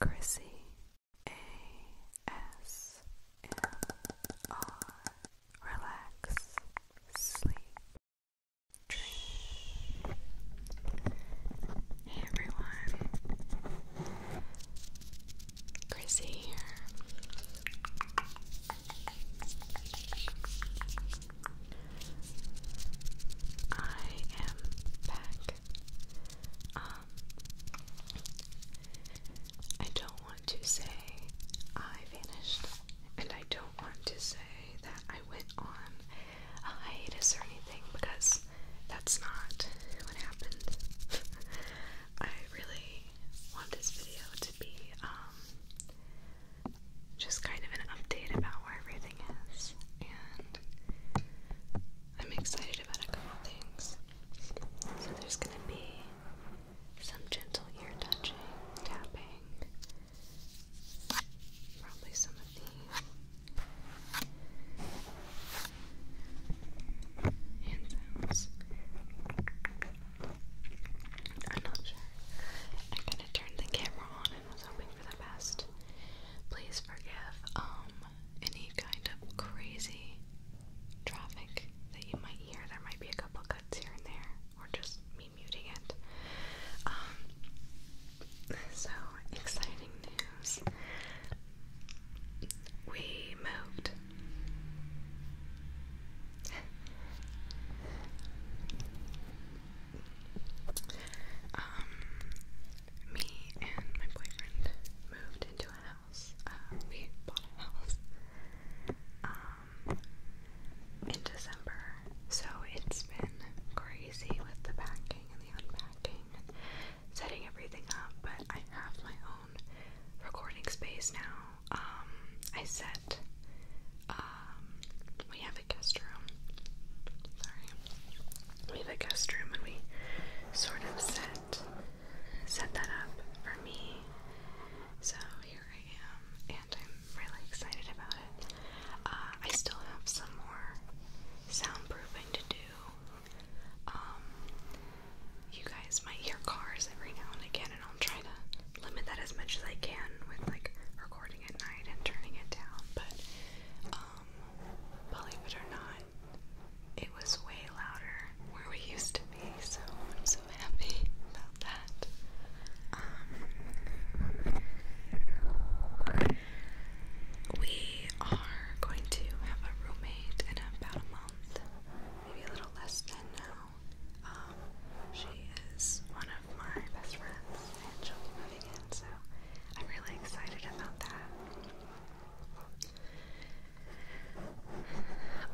Chrissy A S M R Relax Sleep Dream Hey everyone Chrissy here I am back um, I don't want to say I vanished, and I don't want to say that I went on a hiatus or anything because that's not what happened. I really want this video to be um, just kind of an update about where everything is and I'm excited about a couple things. So there's gonna be some gentle ear touching, tapping, probably some of the hand sounds. I'm not sure. I'm gonna turn the camera on and was hoping for the best. Please forgive um, any kind of crazy traffic that you might hear. There might be a couple cuts here and there, or just me muting it. Um, so exciting news. We moved. Um, me and my boyfriend moved into a house. Uh, we bought a house um, in December, so it's been crazy with the packing and the unpacking setting everything up. But I have my own recording space now. Um, I set. Um, we have a guest room. Sorry we have a guest room and we sort of set set that up for me. So here I am, and I'm really excited about it. Uh, I still have some more soundproofing to do. Um, you guys might hear cars every now and again, and I'll try to limit that as much as I can with like recording at night and turning it down. But um, um, believe it or not, it was way louder where we used to be, so I'm so happy about that. Um, we are going to have a roommate in about a month, maybe a little less than now. Um, she is one of my best friends, and she'll be moving in, so I'm really excited about that.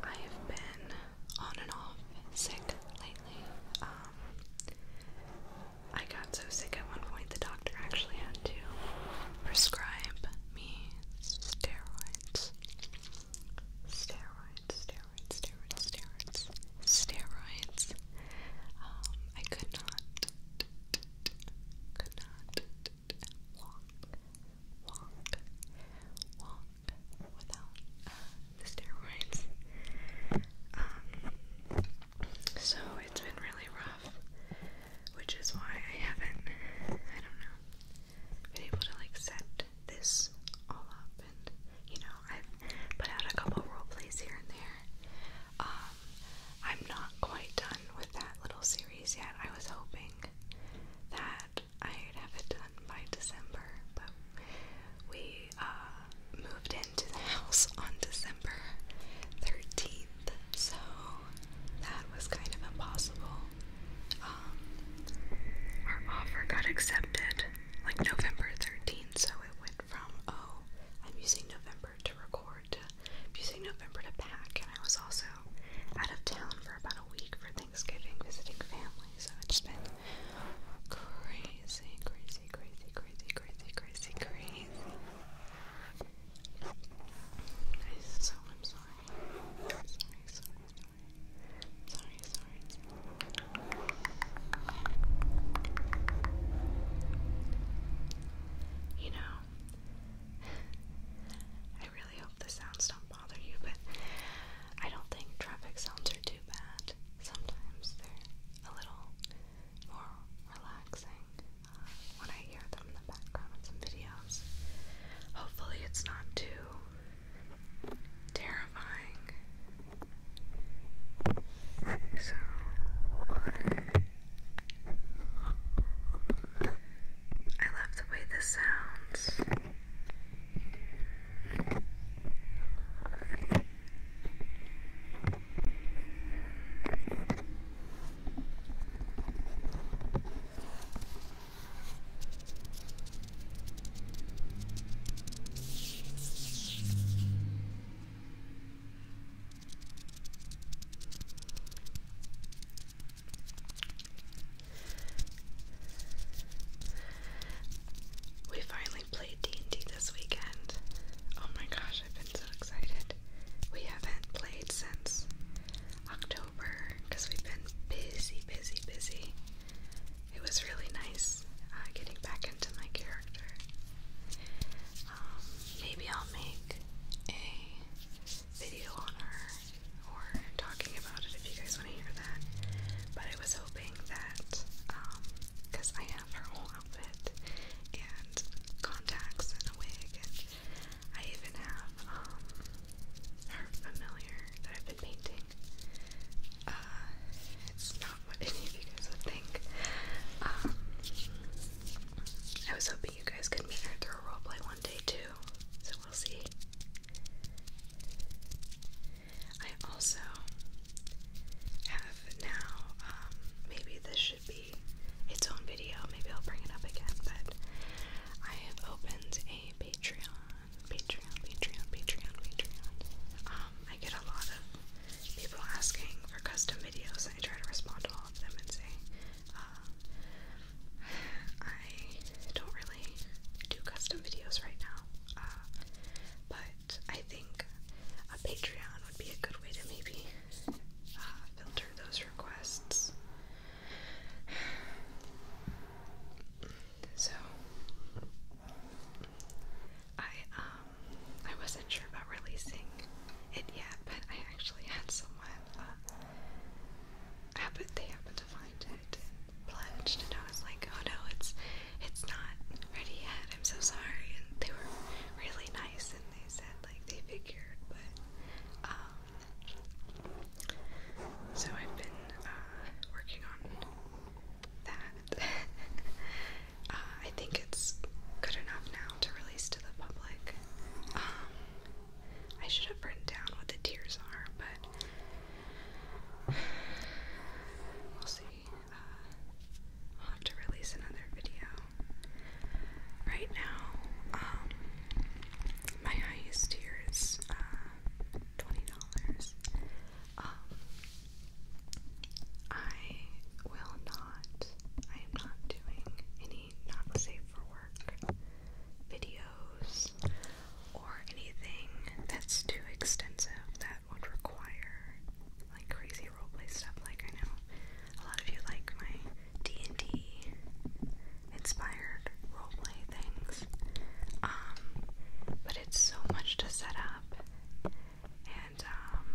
I have been on and off sick lately. Um, I got so sick at one point the doctor actually had to prescribe me steroids. Steroids, steroids, steroids, steroids, steroids. Um, I could not could not walk, walk, walk without the steroids. Um, so it's been really rough, which is why I haven't, I don't know, been able to like set this all up and you know, I've put out a couple role here and there. I'm not quite done with that little series yet. I was hoping that I'd have it done by December, but we uh, moved into the house on December 13th, so that was kind of impossible. Um, our offer got accepted like November 13th, so it went oh, I'm using November to record, I'm using November to pack, and I was also out of town for about a week for Thanksgiving visiting family, so it's been crazy, crazy, crazy, crazy, crazy, crazy, crazy. so I'm sorry, sorry, sorry. Sorry, sorry. You know, I really hope the sounds don't bother you, but I don't think traffic sounds are too bad. Sometimes they're a little more relaxing uh, when I hear them in the background in some videos. Hopefully, it's not too terrifying. So. I love the way this sounds. We finally played D&D this weekend. Oh my gosh, I've been so excited. We haven't played since October because we've been busy, busy, busy. It was really nice uh, getting back into my character maybe I'll make a video on her or talking about it if you guys want to hear that. But I was hoping that, because um, I have her whole outfit and contacts and a wig, I even have um, her familiar that I've been painting. Uh, it's not what any of you guys would think. Um, I was hoping you guys could meet her through a roleplay one day too, so we'll see. I also have now, um, maybe this should be its own video, maybe I'll bring it up again, but I have opened a Patreon, Patreon, Patreon, Patreon, Patreon. Um, I get a lot of people asking for custom videos, I try to respond to all of them and say, uh, I don't really do custom videos right now, uh, but I think a Patreon would be a good way to maybe uh, filter those requests. So, I, um, I wasn't sure about releasing it yet, but I actually had someone, uh, happen, they happened to find it and pledged, and I was like, oh no, it's, it's not ready yet, I'm so sorry, and they were really nice, and they said, like, they figured, but, um, so I've been, uh, working on that, Uh, I think it's good enough now to release to the public. Um, I should have written down what the tiers are, but we'll see. Uh, I'll have to release another video. Right now, um, my highest tier is uh, twenty dollars. Um, I will not I am not doing any not safe for work videos or anything that's too extensive that would require like crazy roleplay stuff. Like I know a lot of you like my D and D inspired roleplay things, um, but it's so much to set up and um,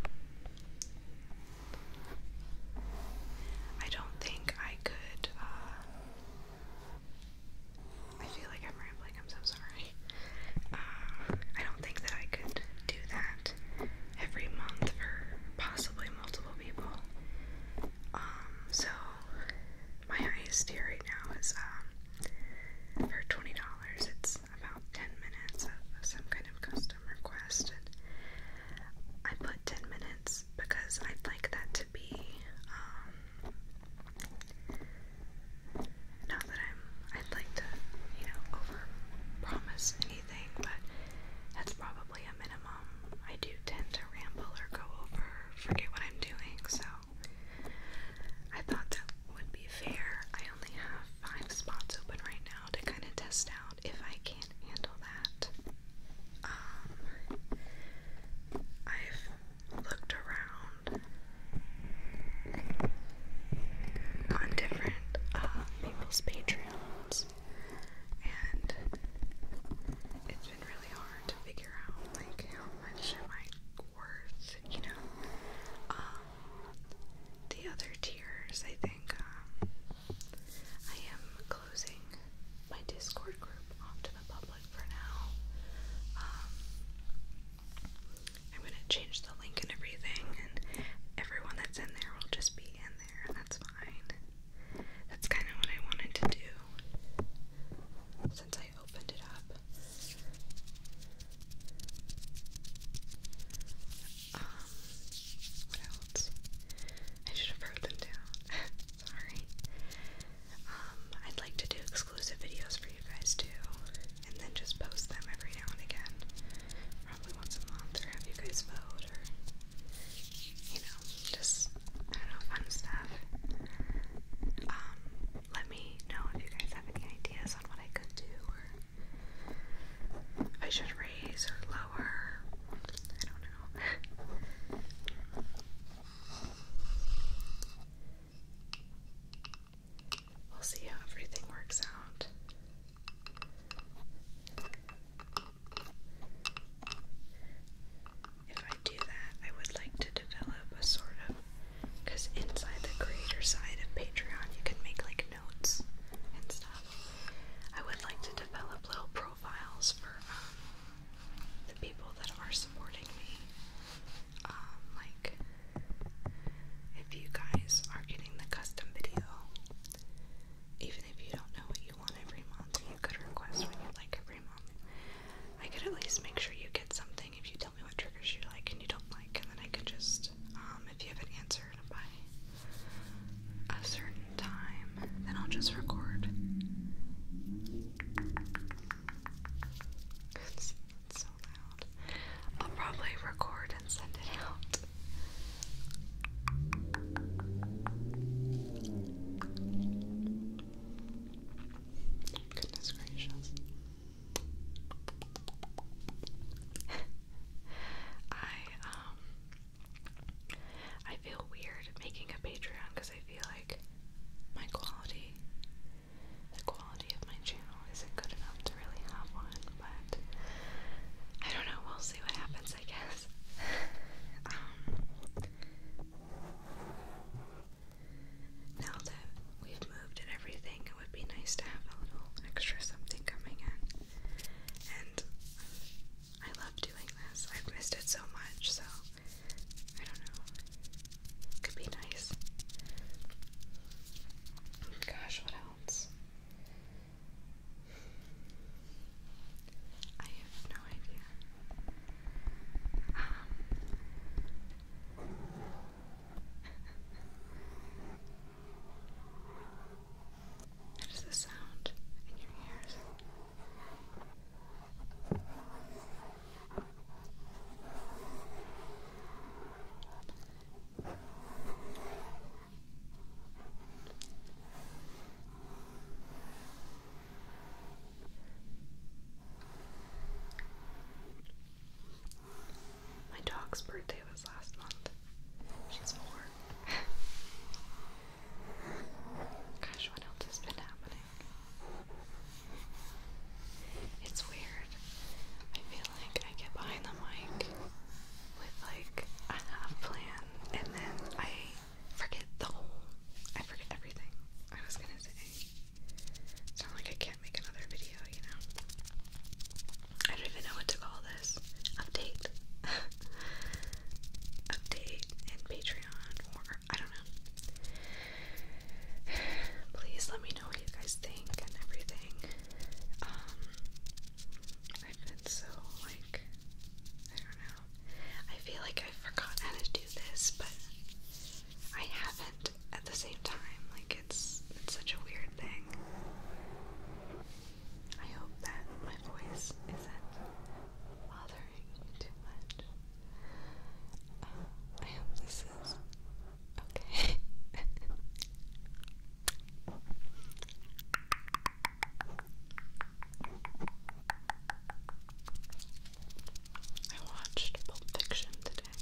I don't think I could. Uh, I feel like I'm rambling. I'm so sorry. Uh, I don't think that I could do that every month for possibly multiple people. Um, so my highest tier right now is um, for twenty dollars. It's about ten minutes of some kind of system requested. I put 10 minutes because I'd like that to be, um, not that I'm, I'd like to, you know, over promise anything, but that's probably a minimum. I do tend to ramble or go over, forget what I'm doing, so I thought that would be fair. I only have five spots open right now to kind of test out if I can handle that. Um, I've looked around on different uh, people's Patreons, and it's been really hard to figure out like how much am I worth, you know. Um, the other tiers, I um, I am closing my Discord group off to the public for now. Um, I'm gonna change the link and everything, and everyone that's in there will just be in there, and that's fine. That's kind of what I wanted to do since I opened it up. Um, what else? I should have wrote them down. Sorry. Um, I'd like to do exclusive videos for you guys too, and then just post them every now and again. Probably once a month, or have you guys vote, or you know, just I don't know, fun stuff. Um, let me know if you guys have any ideas on what I could do, or I should raise or lower. I don't know. we'll see how everything works out. If I do that, I would like to develop a sort of because inside the creator side of Patreon, you can make like notes and stuff. I would like to develop little profiles for um, the people that are supporting me. Um, like, if you guys are getting the custom video, even if you don't know what you want every month, you could request what you like every month. I could at least make sure you get something if you tell me what triggers you like and you don't like, and then I could just, um, if you have an answer by a certain time, then I'll just record. It's, so loud. I'll probably record and send it out. Goodness gracious. I um, I feel weird making a Patreon because I feel like my quality, the quality of my channel isn't good enough to really have one, but I don't know, we'll see what happens, I guess. Um, now that we've moved and everything, it would be nice to have a little extra something coming in. And I love doing this. I've missed it so much, so I don't know. Could be nice. Gosh, what else? I have no idea. Um, That is the sound in your ears. My dog's birthday was last month. She's four. Gosh, what else has been happening? It's weird. I feel like I get behind the mic with like a plan and then I forget the whole I forget everything I was gonna say. It's not like I can't make another video, you know. I don't even know what to call this. Update. Update and Patreon or I don't know. Please let me know what you guys think and everything. Um I've so like I don't know. I feel like I've how to do this, but I haven't at the same time. Like it's it's such a weird thing. I hope that my voice isn't bothering you too much. Uh, I hope this is okay. I watched Pulp Fiction today.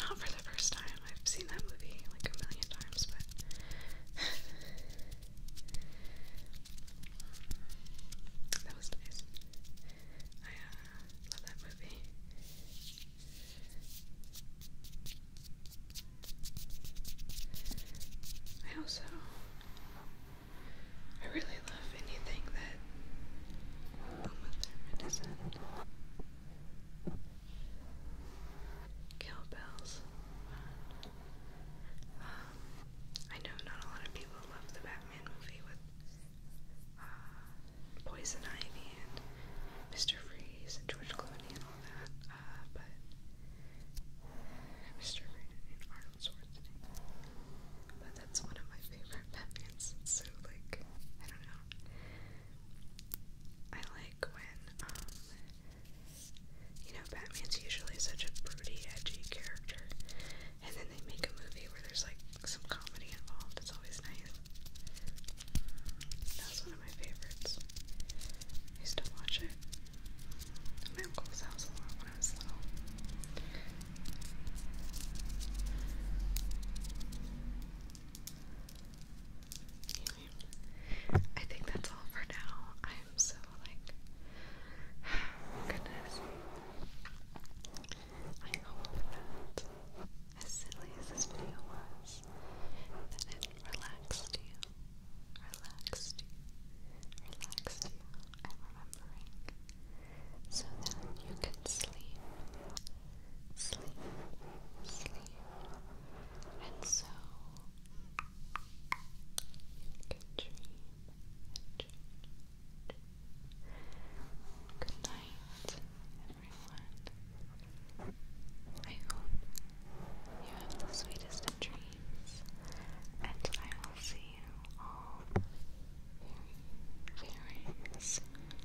Not for the first time, I've seen that movie like a million times, but that was nice. I uh, love that movie. I also I really love anything that Cowbells. Um, I know not a lot of people love the Batman movie with uh, Poison Ivy and Mr. Freeze and George Clooney and all that, uh, but Mr. Freeze and Arnold Schwarzenegger. But that's one of my favorite Batmans. so like I don't know. I like when um, you know, Batman's usually such a broody, edgy character, and then they make a movie where there's like some comedy involved. It's always nice. That was one of my favorites. I used to watch it at my uncle's house a lot when I was little. I think that's all for now. I'm so like, goodness. I hope that as silly as this video was, that it relaxed you, relaxed you, relaxed you. I'm remembering, so that you can sleep, sleep, sleep. And so you dream. Good night, everyone. I hope you have the sweetest of dreams, and I will see you all very, very soon.